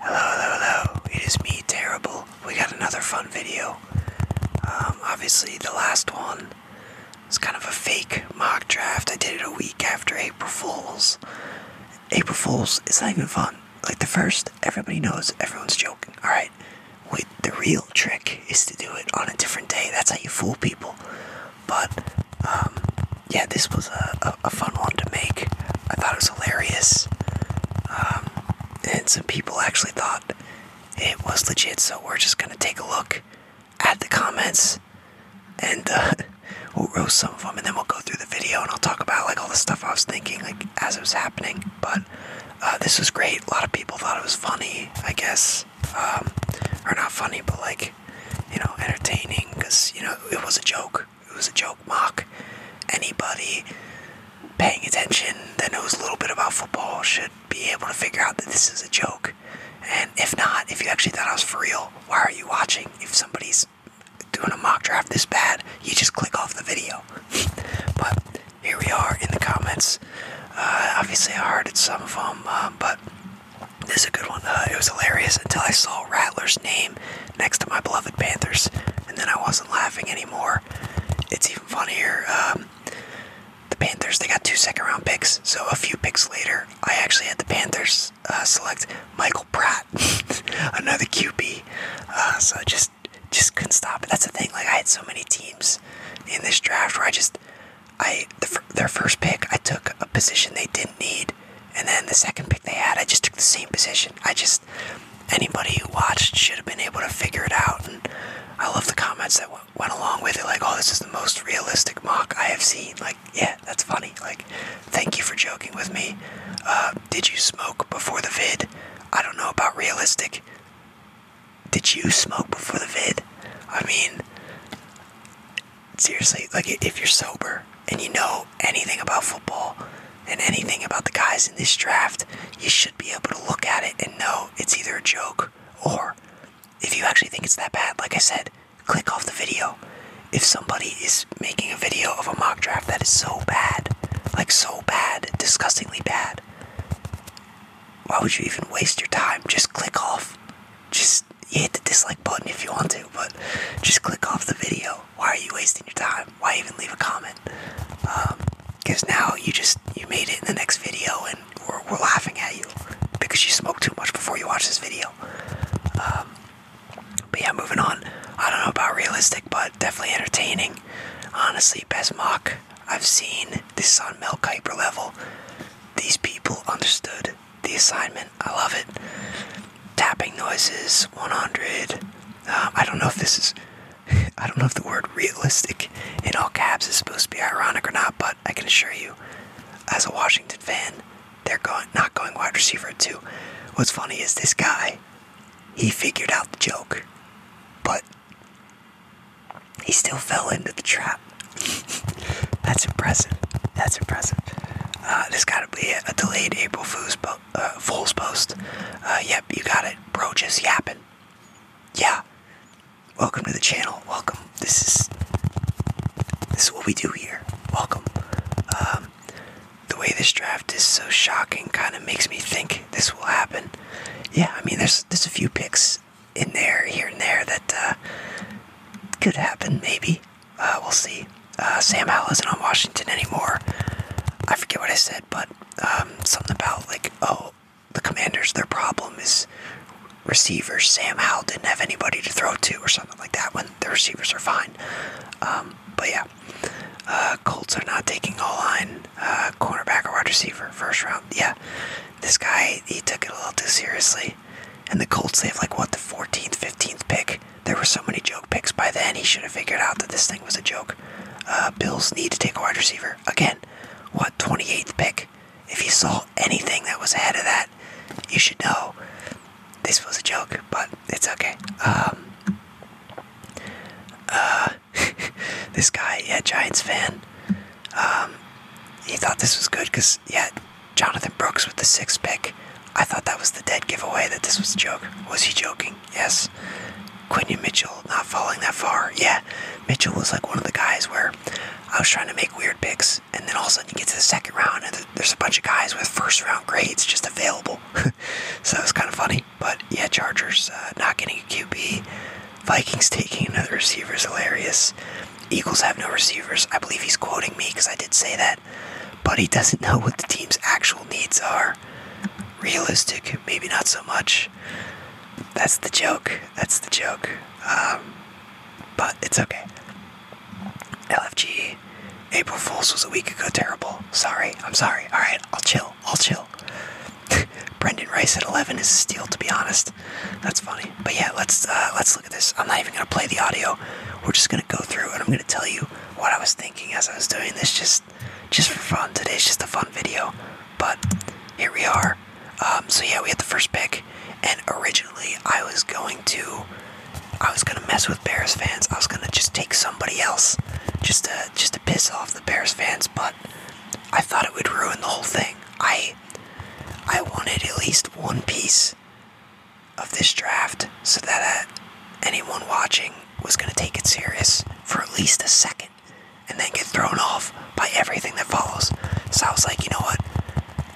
Hello, hello, hello. It is me, Terrible. We got another fun video. Um, obviously, the last one was kind of a fake mock draft. I did it a week after April Fool's. April Fool's is not even fun. Like the first, everybody knows, everyone's joking. Alright, wait, the real trick is to do it on a different day. That's how you fool people. But um, yeah, this was a, a, fun one to make. I thought it was hilarious. Um, and some people actually thought it was legit, so we're just gonna take a look at the comments and uh, we'll roast some of them, and then we'll go through the video and I'll talk about like all the stuff I was thinking like as it was happening. But uh, this was great. A lot of people thought it was funny. I guess um, or not funny, but like you know, entertaining because you know it was a joke. It was a joke mock. Anybody paying attention that knows a little bit about football should be able to figure out that this is a joke. And if not, if you actually thought I was for real, why are you watching? If somebody's doing a mock draft this bad, you just click off the video. but here we are in the comments. Uh, obviously, I hearted some of them, um, but this is a good one. Uh, it was hilarious until I saw Rattler's name next to my beloved Panthers, and then I wasn't laughing anymore. It's even funnier. Um, the Panthers, they got two second round picks, so a few picks later, I actually had the Panthers uh, select Michael Pratt, another QB. Uh, so I just, just couldn't stop it. That's the thing, like, I had so many teams in this draft where I just, I their first pick, I took a position they didn't need, and then the second pick they had, I just took the same position. I just anybody who watched should have been able to figure it out, and I love the comments that went, along with it. Like, oh, this is the most realistic mock I have seen. Like, yeah, that's funny. Like, thank you for joking with me. Uh, did you smoke before the vid? I don't know about realistic. Did you smoke before the vid? I mean, seriously, like if you're sober and you know anything about football and anything about the guys in this draft, you should be able to look at it and know it's either a joke or if you actually think it's that bad, like I said, click off the video. If somebody is making a video of a mock draft that is so bad, like so bad, disgustingly bad, why would you even waste your time? Just click off just hit the dislike button if you want to, but just click off the video. Why are you wasting your time? Why even leave a comment? Because um, now you just you made it in the next video, and we're, we're laughing at you because you smoked too much before you watched this video. Um, but yeah, moving on. I don't know about realistic, but definitely entertaining. Honestly, best mock I've seen. This on Mel Kiper level. These people understood the assignment. I love it. Tapping noises, 100. Um, I don't know if this is. I don't know if the word realistic in all caps is supposed to be ironic or not, but I can assure you, as a Washington fan, they're going not going wide receiver too. What's funny is this guy, he figured out the joke, but he still fell into the trap. That's impressive. That's impressive. Uh, there's gotta be a delayed April Fool's, po uh, Fool's post. Uh, yep, you got it. Bro, just yapping. Yeah. Welcome to the channel. Welcome. This is this is what we do here. Welcome. Um, the way this draft is so shocking kind of makes me think this will happen. Yeah, I mean, there's there's a few picks in there, here and there, that uh, could happen, maybe. Uh, we'll see. Uh, Sam Howell isn't on Washington anymore. I forget what I said, but um, something about, like, oh, the commanders, their problem is receivers. Sam Howell didn't have anybody to throw to or something like that when the receivers are fine. Um, but yeah, Colts are not taking all line, uh, cornerback or wide receiver, first round. Yeah, this guy he took it a little too seriously. And the Colts they have like what the 14th, 15th pick. There were so many joke picks by then. He should have figured out that this thing was a joke. Uh, Bills need to take a wide receiver again. What 28th pick? If he saw anything that was ahead of that, you should know this was a joke. But it's okay. Um, uh, this guy, yeah, Giants fan. Um, he thought this was good because, yeah, Jonathan Brooks with the sixth pick. I thought that was the dead giveaway that this was a joke. Was he joking? Yes. Quinion Mitchell not falling that far. Yeah, Mitchell was like one of the guys where I was trying to make weird picks, and then all of a sudden you get to the second round, and there's a bunch of guys with first round grades just available. so it was kind of funny. But yeah, Chargers uh, not getting a QB. Vikings taking another receivers hilarious. Eagles have no receivers. I believe he's quoting me because I did say that. But he doesn't know what the team's actual needs are. Realistic, maybe not so much. That's the joke. That's the joke. Um, but it's okay. LFG, April Fools was a week ago terrible. Sorry, I'm sorry. Alright, I'll chill. I'll chill. Brendan Rice at 11 is steel. to be honest. That's funny. But yeah, let's uh, let's look at this. I'm not even gonna play the audio. We're just gonna go through, and I'm gonna tell you what I was thinking as I was doing this, just just for fun. Today's just a fun video. But here we are. Um, so yeah, we had the first pick, and originally I was going to, I was gonna mess with Bears fans. I was gonna just take somebody else, just to just to piss off the Bears fans. But I thought it would ruin the whole thing. I I wanted at least one piece of this draft so that uh, anyone watching was going to take it serious for at least a second and then get thrown off by everything that follows. So I was like, you know what?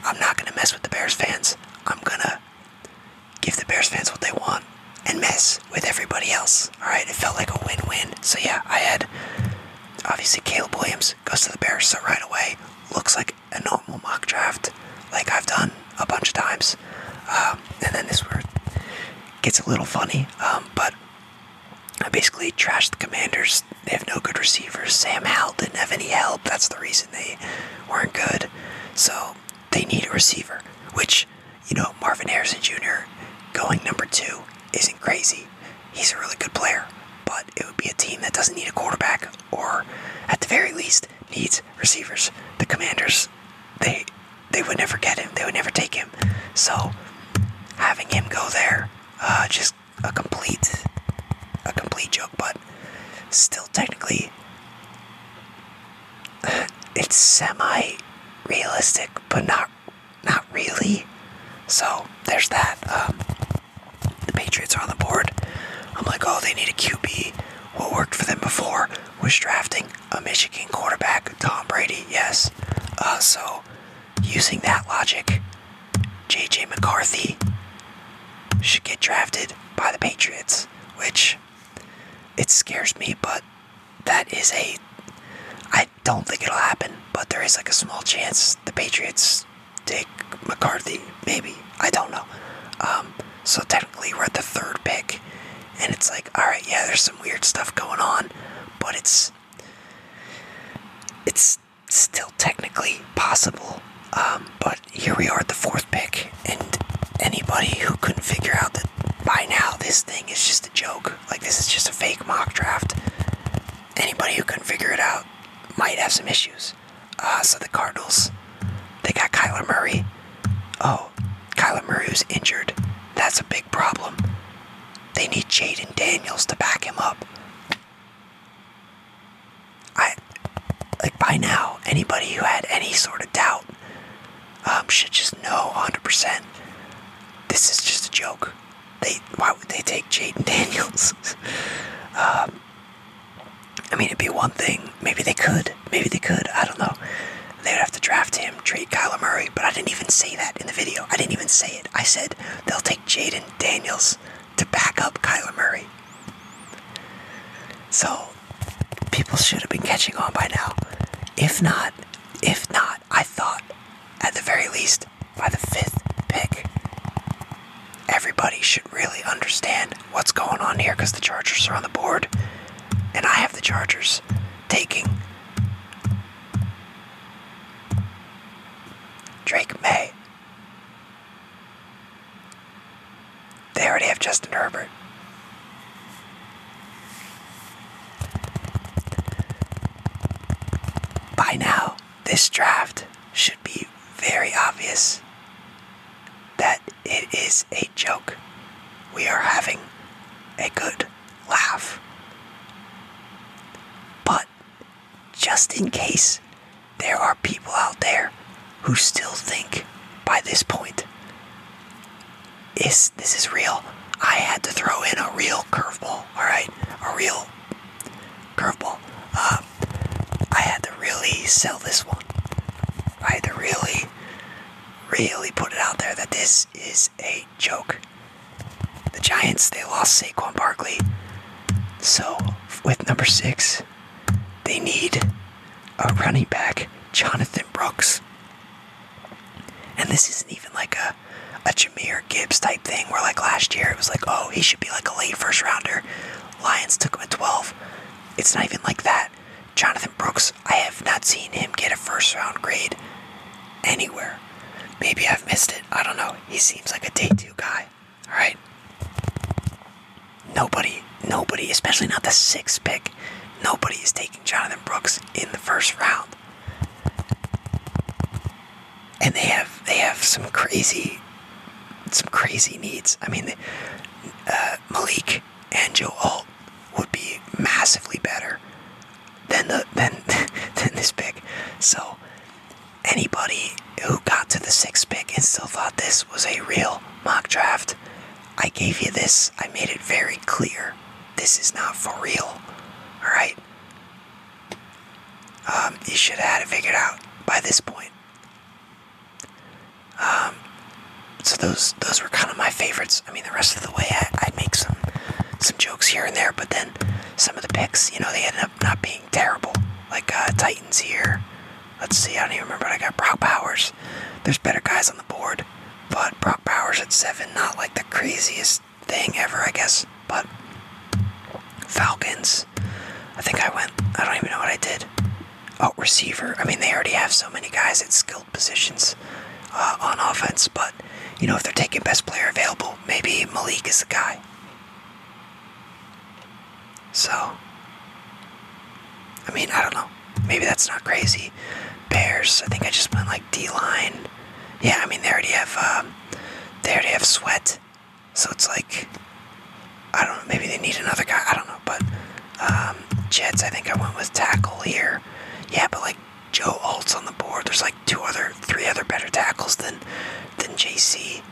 I'm not going to mess with the Bears fans. I'm going to give the Bears fans what they want and mess with everybody else. All right, it felt like a win-win. So yeah, I had obviously Caleb Williams goes to the Bears. So right away, looks like a normal mock draft, like I've done a bunch of times. Um, and then this word gets a little funny, um, but I basically trashed the Commanders. They have no good receivers. Sam Howell didn't have any help. That's the reason they weren't good. So they need a receiver, which, you know, Marvin Harrison Jr. going number two isn't crazy he's a really good player. But it would be a team that doesn't need a quarterback, or at the very least, needs receivers. The Commanders, they they would never get him. They would never take him. So having him go there, uh, just a complete a complete joke. But still, technically, it's semi realistic, but not not really. So there's that. Um, the Patriots are on the board. I'm like, oh, they need a QB. What worked for them before was drafting a Michigan quarterback, Tom Brady. Yes. Uh, so using that logic, J.J. McCarthy should get drafted by the Patriots, which it scares me, but that is a. I don't think it'll happen, but there is like a small chance the Patriots take McCarthy, maybe. I don't know. Um, so technically, we're at the third pick, and it's like, all right, yeah, there's some weird stuff going on, but it's it's still technically possible. Um, but here we are at the fourth pick, and anybody who couldn't figure out that by now this thing is just a joke like, this is just a fake mock draft. Anybody who can figure it out might have some issues. Uh, so the Cardinals, they got Kyler Murray. Oh, Kyler Murray's injured. That's a big problem. They need Jaden Daniels to back him up. I like by now anybody who had any sort of doubt um, should just no. 100% this is just a joke. They why would they take Jaden Daniels? um, I mean, it'd be one thing. Maybe they could. Maybe they could. I don't know. They would have to draft him, trade Kyler Murray. But I didn't even say that in the video. I didn't even say it. I said they'll take Jaden Daniels to back up Kyler Murray. So people should have been catching on by now. If not, if not, I thought at the very least by the fifth pick, everybody should really understand what's going on here because the Chargers are on the board, and I have the Chargers taking Drake May. They already have Justin Herbert. By now, this draft should be very obvious that it is a joke. We are having a good laugh. But just in case there are people out there who still think by this point, is this is real. I had to throw in a real curveball. All right, a real curveball. Uh, I had to really sell this one. I had to really, really put it out there that this is a joke. The Giants they lost Saquon Barkley, so with number six, they need a running back, Jonathan Brooks. And this isn't even like a a Jameer Gibbs type thing where like last year it was like, oh, he should be like a late first rounder. Lions took him at 12. It's not even like that. Jonathan Brooks, I have not seen him get a first round grade anywhere. Maybe I've missed it. I don't know. He seems like a day two guy. Alright. Nobody, nobody, especially not the sixth pick, nobody is taking Jonathan Brooks in the first round. And they have they have some crazy some crazy needs. I mean, uh, Malik and Joe Alt would be massively better than the than than this pick. So anybody who got to the sixth pick and still thought this was a real mock draft I gave you this. I made it very clear. This is not for real. Alright? Um, you should have had it figured out by this point. Um, so those those were kind of my favorites. I mean, the rest of the way, I, would make some some jokes here and there, but then some of the picks, you know, they ended up not being terrible. Like uh, Titans here. Let's see, I don't even remember. I got Brock Powers. There's better guys on the board. But Brock Bowers at seven, not like the craziest thing ever, I guess. But Falcons, I think I went. I don't even know what I did. Oh, receiver. I mean, they already have so many guys at skilled positions uh, on offense, but you know, if they're taking best player available, maybe Malik is the guy. So, I mean, I don't know maybe that's not crazy. Bears, I think I just went like D line. Yeah, I mean they already have um, they already have sweat, so it's like I don't know. Maybe they need another guy. I don't know, but um, Jets. I think I went with tackle here. Yeah, but like Joe Alt's on the board. There's like two other, three other better tackles than than JC.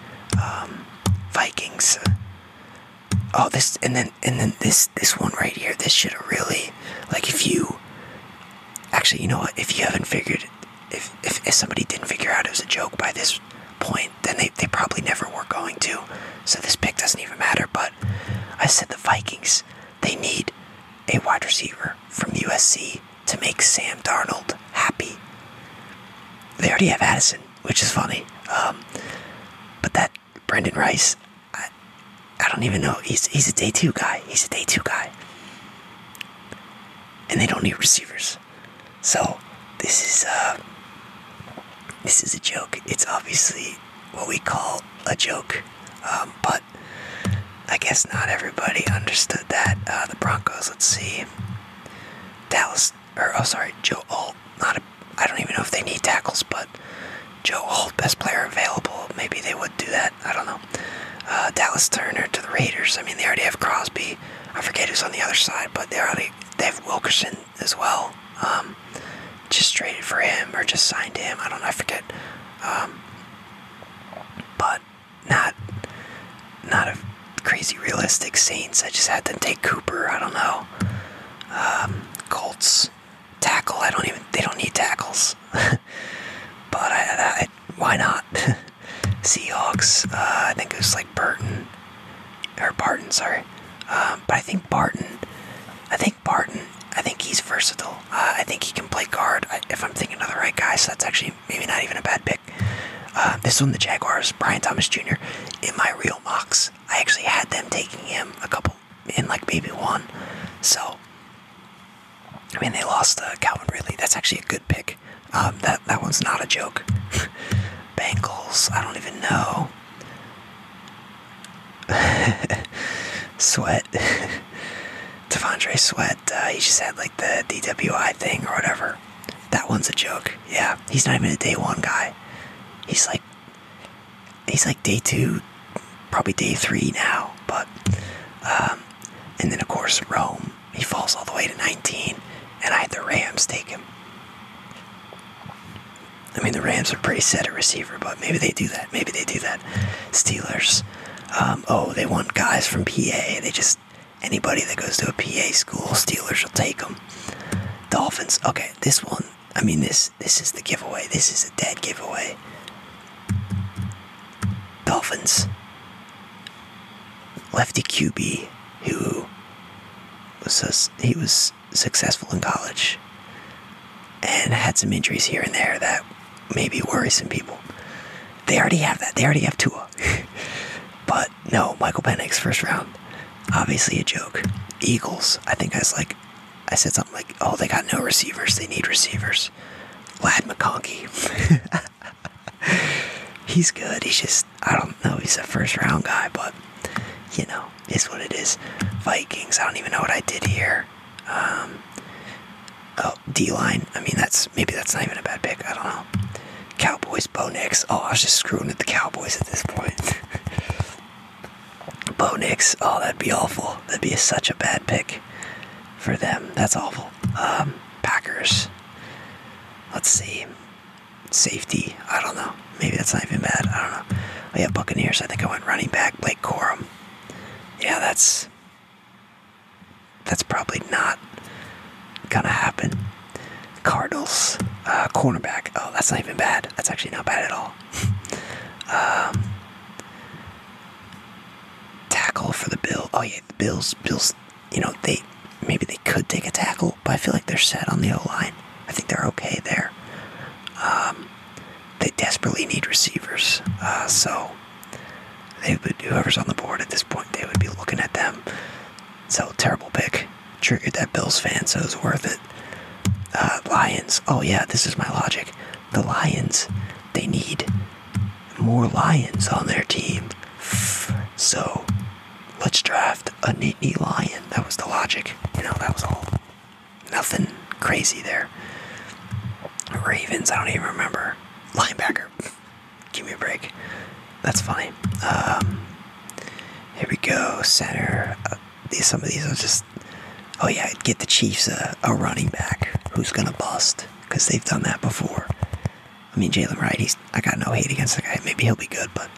Um, Vikings oh this and then and then this this one right here this should have really like if you actually you know what if you haven't figured if if, if somebody didn't figure out it was a joke by this point then they, they probably never were going to so this pick doesn't even matter but i said the vikings they need a wide receiver from usc to make sam darnold happy they already have addison which is funny um, but that Brendan Rice, I, don't even know. He's he's a day two guy. He's a day two guy. And they don't need receivers. So this is uh this is a joke. It's obviously what we call a joke. Um, but I guess not everybody understood that. Uh, the Broncos, let's see. Dallas or oh sorry, Joe Holt, not a, I don't even know if they need tackles, but Joe Holt, best player available. Maybe they would do that. I don't know. Uh, Dallas Turner to the Raiders. I mean, they already have Crosby. I forget who's on the other side, but they already they have Wilkerson as well. Um, just traded for him or just signed him. I don't know. I forget. Um, but not not a crazy realistic Saints. I just had to take Cooper. I don't know. Um, Colts tackle. I don't even. They don't need tackles. but why not? Seahawks. Uh, I think it was like Burton or Barton. Sorry. Um, but I think Barton. I think Barton. I think he's versatile. Uh, I think he can play guard if I'm thinking of the right guy. So that's actually maybe not even a bad pick. Um, this one, the Jaguars, Brian Thomas Jr. In my real mocks, I actually had them taking him a couple in like maybe one. So I mean, they lost uh, Calvin Ridley. That's actually a good pick. Um, that that one's not a joke. Bangles. I don't even know. Sweat. Devondre Sweat. Uh, he just had like the DWI thing or whatever. That one's a joke. Yeah, he's not even a day one guy. He's like he's like day two, probably day three now. But um, and then of course Rome, he falls all the way to 19, and I had the Rams take him. I mean the Rams are pretty set at receiver, but maybe they do that. Maybe they do that. Steelers. Um, oh, they want guys from PA. They just anybody that goes to a PA school, Steelers will take them. Dolphins. Okay, this one, I mean, this this is the giveaway. This is a dead giveaway. Dolphins. Lefty QB, who was he was successful in college, and had some injuries here and there that maybe worry some people. They already have that. They already have Tua, but no, Michael Penix, first round. Obviously a joke. Eagles, I think I like, I said something like, oh, they got no receivers. They need receivers. Lad McConkey. he's good. He's just, I don't know, he's a first round guy, but you know, is what it is. Vikings, I don't even know what I did here. Um, oh, D line. I mean, that's maybe that's not even a bad pick. I don't know. Cowboys, Bo Nix. Oh, I was just screwing with the Cowboys at this point. Bo Nix. Oh, that'd be awful. That'd be such a bad pick for them. That's awful. Um, Packers. Let's see. Safety. I don't know. Maybe that's not even bad. I don't know. Oh, yeah, Buccaneers. I think I went running back. Blake Corum. Yeah, that's that's probably not gonna happen. Cardinals uh, cornerback. Oh, that's not even bad. That's actually not bad at all. Um, tackle for the Bill. Oh yeah, the Bills. Bills. You know they maybe they could take a tackle, but I feel like they're set on the O line. I think they're okay there. Um, they desperately need receivers, uh, so they would, whoever's on the board at this point, they would be looking at them so terrible pick. Triggered that Bills fan, so it was worth it. Uh, Lions. Oh yeah, this is my logic. The Lions. They need more Lions on their team. So let's draft a Nittany Lion. That was the logic. You know, that was all. Nothing crazy there. Ravens, I don't even remember. Linebacker. Give me a break. That's funny. Um, here we go. Center. Uh, these, some of these are just. Oh, yeah. Get the Chiefs a, a running back who's going to bust because they've done that before. I mean, Jalen Wright, he's, I got no hate against the guy. Maybe he'll be good, but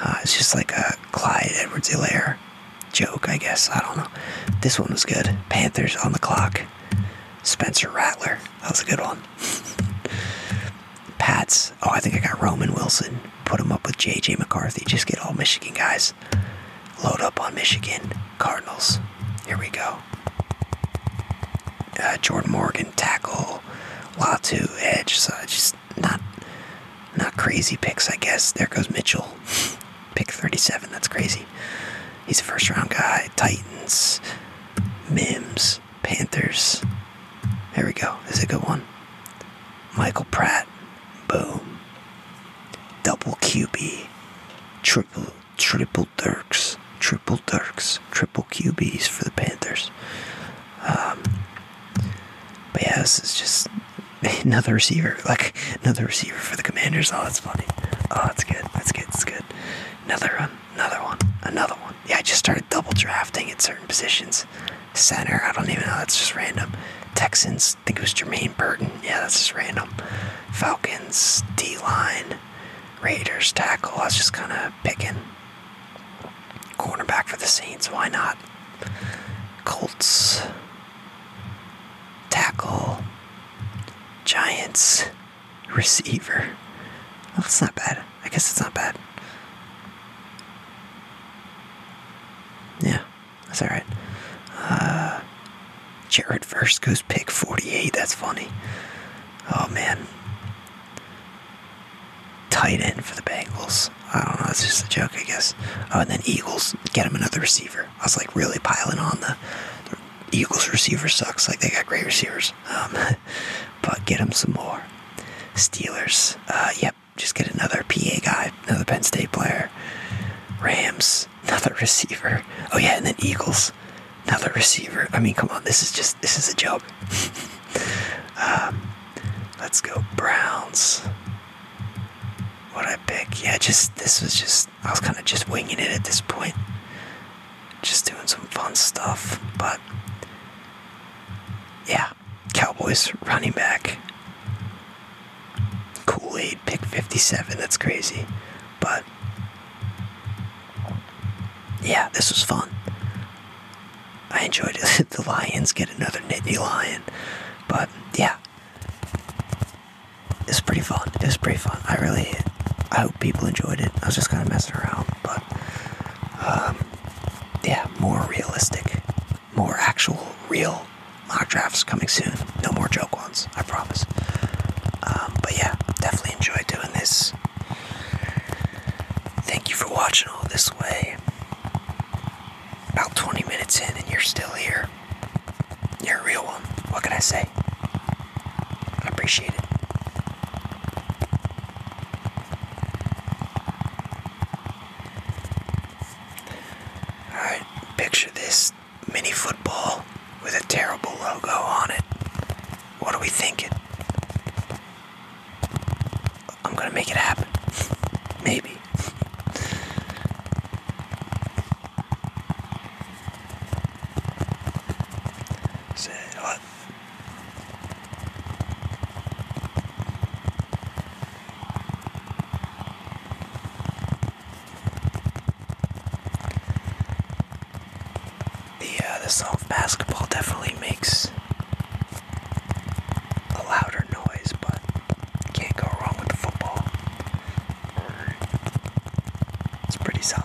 uh, it's just like a Clyde Edwards Hilaire joke, I guess. I don't know. This one was good. Panthers on the clock. Spencer Rattler. That was a good one. Pats. Oh, I think I got Roman Wilson. Put him up with J.J. McCarthy. Just get all Michigan guys. Load up on Michigan. Cardinals. Here we go. Uh, Jordan Morgan, tackle. Latu, edge. So just not, not crazy picks, I guess. There goes Mitchell. Pick 37. That's crazy. He's a first round guy. Titans. Mims. Panthers. There we go. This is a good one. Michael Pratt. Boom. Double QB. Triple triple Dirks. Triple Dirks. Triple QBs for the Panthers. Um, but yeah, this is just another receiver. Like another receiver for the Commanders. Oh, that's funny. Oh, that's good. That's good. That's good. Another run. Um, Another one. Another one. Yeah, I just started double drafting at certain positions. Center, I don't even know. That's just random. Texans, think it was Jermaine Burton. Yeah, that's just random. Falcons, D line, Raiders, tackle. I was just kind of picking. Cornerback for the Saints, why not? Colts, tackle, Giants. Receiver. Oh, that's not bad. I guess it's not bad. Yeah, that's alright. Uh, Jared first goes pick 48. That's funny. Oh, man. Tight end for the Bengals. I don't know. It's just a joke, I guess. Oh, and then Eagles get him another receiver. I was like really piling on the Eagles receiver sucks. Like they got great receivers um, but get him some more. Steelers, uh, yep, just get another PA guy, another Penn State player. Rams, another receiver. Oh yeah, and then Eagles, another receiver. I mean, come on, this is just this is a joke. um, let's go Browns. What I pick? Yeah, just this was just I was kind of just winging it at this point just doing some fun stuff. But yeah, Cowboys running back. Kool Aid pick 57. That's crazy. But yeah, this was fun. I enjoyed it. the Lions get another Nittany Lion. But yeah, it's pretty fun. It's pretty fun. I really, I hope people enjoyed it. I was just kind of messing around, but um, yeah, more realistic, more actual, real mock drafts coming soon. No more joke ones, I promise. Um, but yeah, definitely enjoyed doing this. Thank you for watching all this way. About 20 minutes in, and you're still here. You're a real one. What can I say? I appreciate it. Alright, picture this mini football with a terrible logo on it. What are we thinking? I'm gonna make it happen. Maybe. Say what? The the sound of basketball definitely makes a louder noise, but can't go wrong with the football. It's pretty solid.